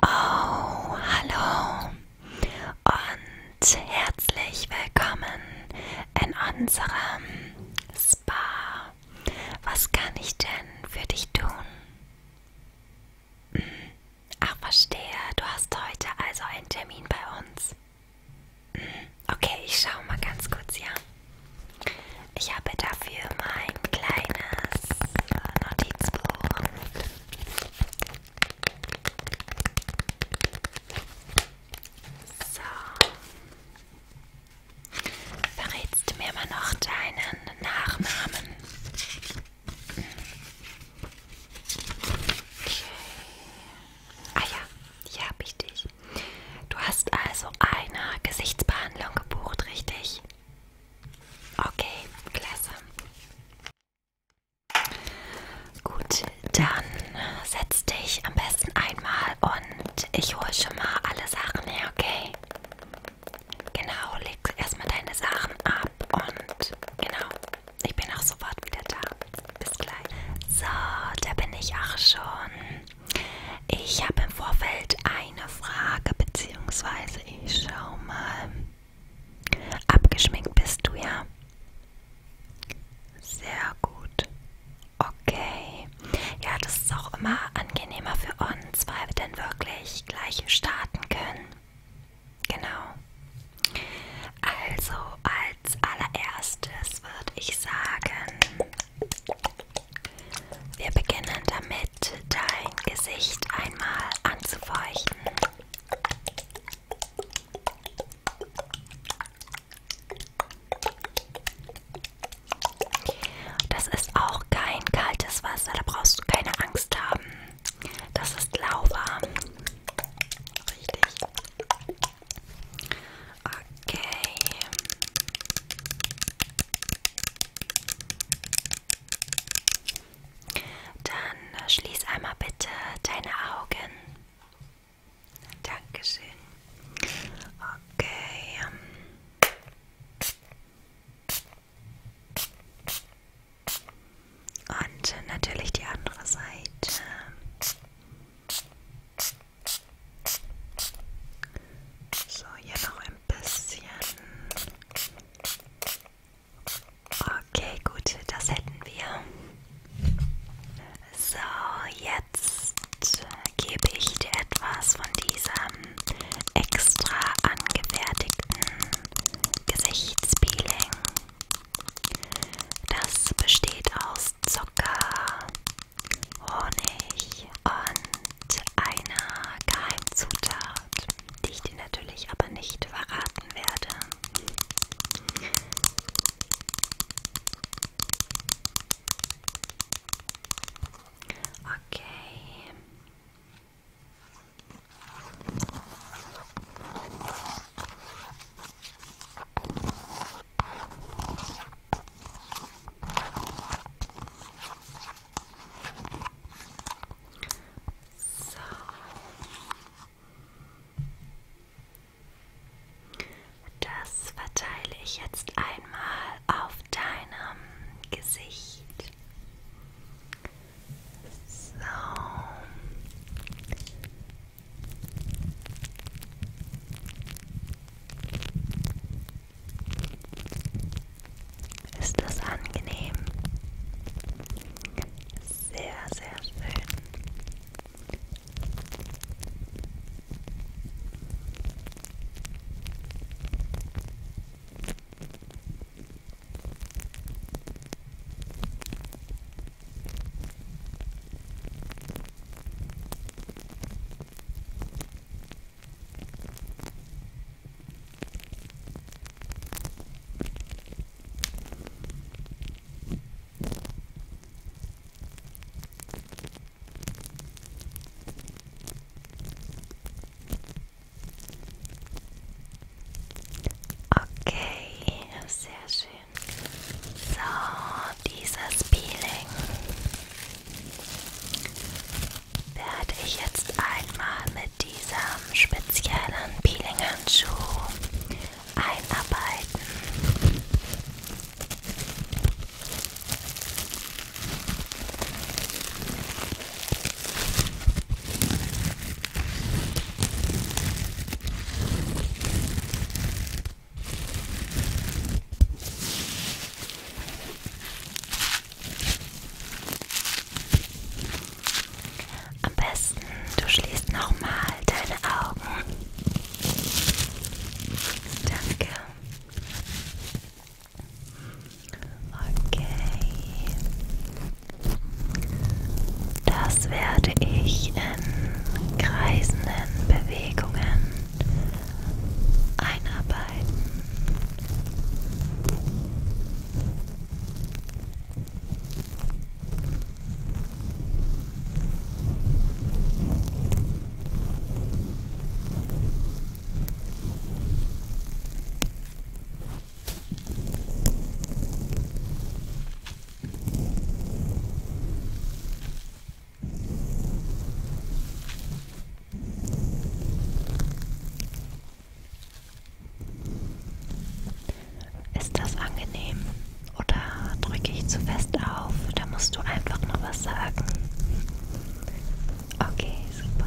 Oh, hallo und herzlich willkommen in unserem Spa. Was kann ich denn für dich tun? Hm. Ach, verstehe, du hast heute also einen Termin bei uns. Hm. Okay, ich schaue mal ganz kurz, ja. Ich habe dafür mein kleines Notizbuch. So. Verrätst du mir mal noch deinen Nachnamen? Okay. Ah ja, hier habe ich dich. Du hast also eine Gesichtsbehandlung gebucht, richtig? Okay, klasse. Gut, dann setz dich am besten einmal und ich hole schon mal alle Sachen her, okay? Genau, leg erstmal deine Sachen ab und genau, ich bin auch sofort wieder da. Bis gleich. So, da bin ich auch schon. Ich habe im Vorfeld eine Frage, beziehungsweise ich schau mal. Abgeschminkt bist du ja. Sehr gut. Okay. Ja, das ist auch immer angenehmer für uns, weil wir dann wirklich gleich starten können. Genau. Also als allererstes würde ich sagen, wir beginnen damit, dein Gesicht einmal anzufeuchten. Das ist auch kein kaltes Wasser, da brauchst du keine Angst haben. Das ist lauwarm. Richtig. Okay. Dann schließ einmal bitte deine Augen. Dankeschön. Okay. Ähm. Und natürlich die andere Seite. So, hier noch ein bisschen. Okay, gut, das hätten wir. So, jetzt gebe ich dir etwas von diesem extra angefertigten Gesichtspeeling. Das besteht aus Zucker, Honig und einer Geheimzutat, die ich dir natürlich aber nicht verraten werde. Okay. So. Das verteile ich jetzt einmal auf deinem Gesicht. So. Ist das angenehm? Sehr, sehr schön. Okay, sehr schön. So, dieses Peeling werde ich jetzt einmal mit diesem speziellen Peeling-Handschuh einarbeiten. Am besten, du schließt nochmal deine Augen. Danke. Okay. Das werde ich in kreisenden Bewegungen einarbeiten. Ist das angenehm oder drücke ich zu fest auf? Da musst du einfach noch was sagen. Okay, super.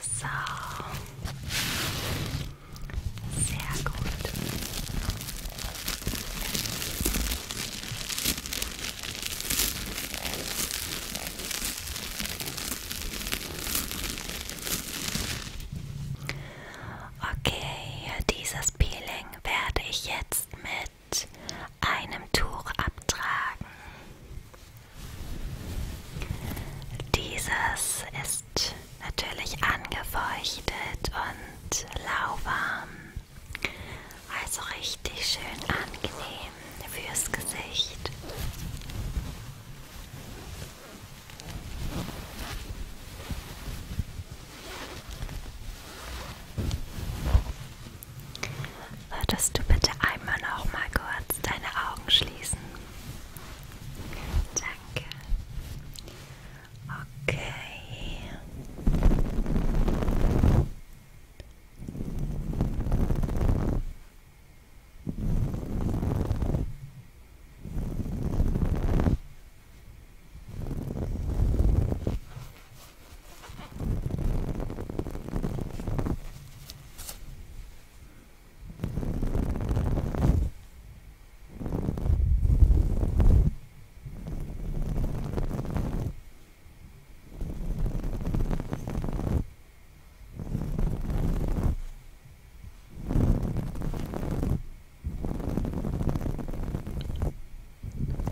So. Sehr gut. Okay, dieses Peeling werde ich jetzt mit einem Tuch abtragen. Dieses ist natürlich angefeuchtet und lauwarm, also richtig schön angenehm fürs Gesicht. Würdest du bitte einmal noch mal kurz deine Augen schließen? Danke. Okay.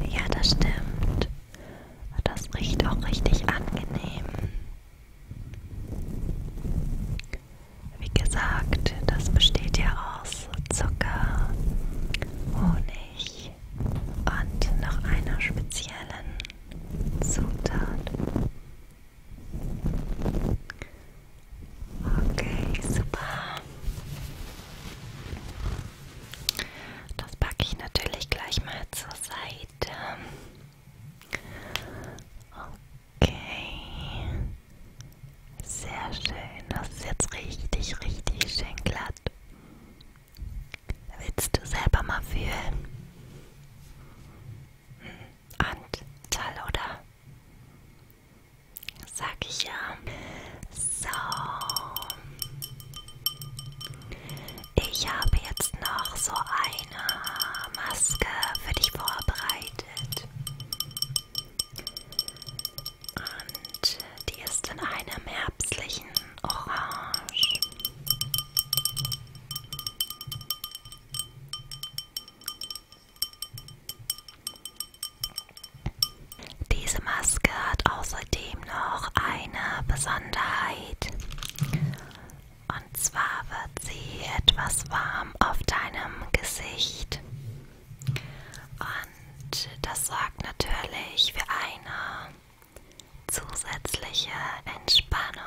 Ja, das stimmt. Das riecht auch richtig angenehm. Wie gesagt, das besteht ja aus Zucker, Honig und noch einer speziellen Zutat. Okay, super. Das packe ich natürlich gleich mal zur andere Seite. Okay. Sehr schön. Das ist jetzt richtig, richtig schön glatt. Willst du selber mal fühlen? Hm, Anzahl, oder? Sag ich ja. So. Ich habe jetzt noch so eine Maske für dich vorbereitet. Und die ist in einem herbstlichen Orange. Diese Maske hat außerdem noch eine Besonderheit. Und zwar wird sie etwas warm auf deinem Gesicht. Und das sorgt natürlich für eine zusätzliche Entspannung.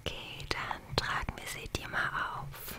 Okay, dann tragen wir sie dir mal auf.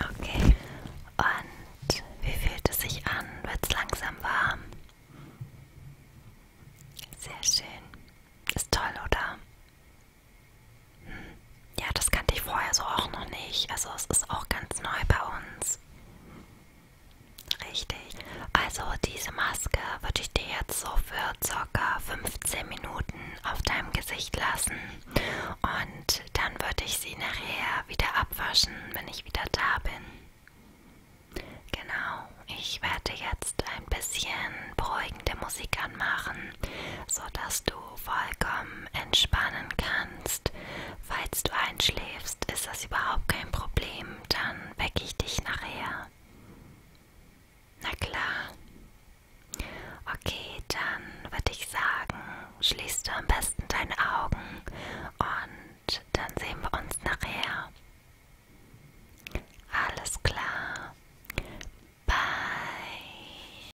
Okay, und wie fühlt es sich an? Wird es langsam warm? Sehr schön. Ist toll, oder? Hm. Ja, das kannte ich vorher so auch noch nicht. Also es ist auch ganz neu bei uns. Richtig. Also diese Maske würde ich dir jetzt so für ca. 15 Minuten auf deinem Gesicht lassen und dann würde ich sie nachher wieder abwaschen, wenn ich wieder da bin. Genau, ich werde jetzt ein bisschen beruhigende Musik anmachen, sodass du vollkommen entspannen kannst. Falls du einschläfst, ist das überhaupt kein Problem, dann wecke ich dich nachher. Na klar. Okay, dann würde ich sagen, schließt du am besten deine Augen und dann sehen wir uns nachher. Alles klar. Bye.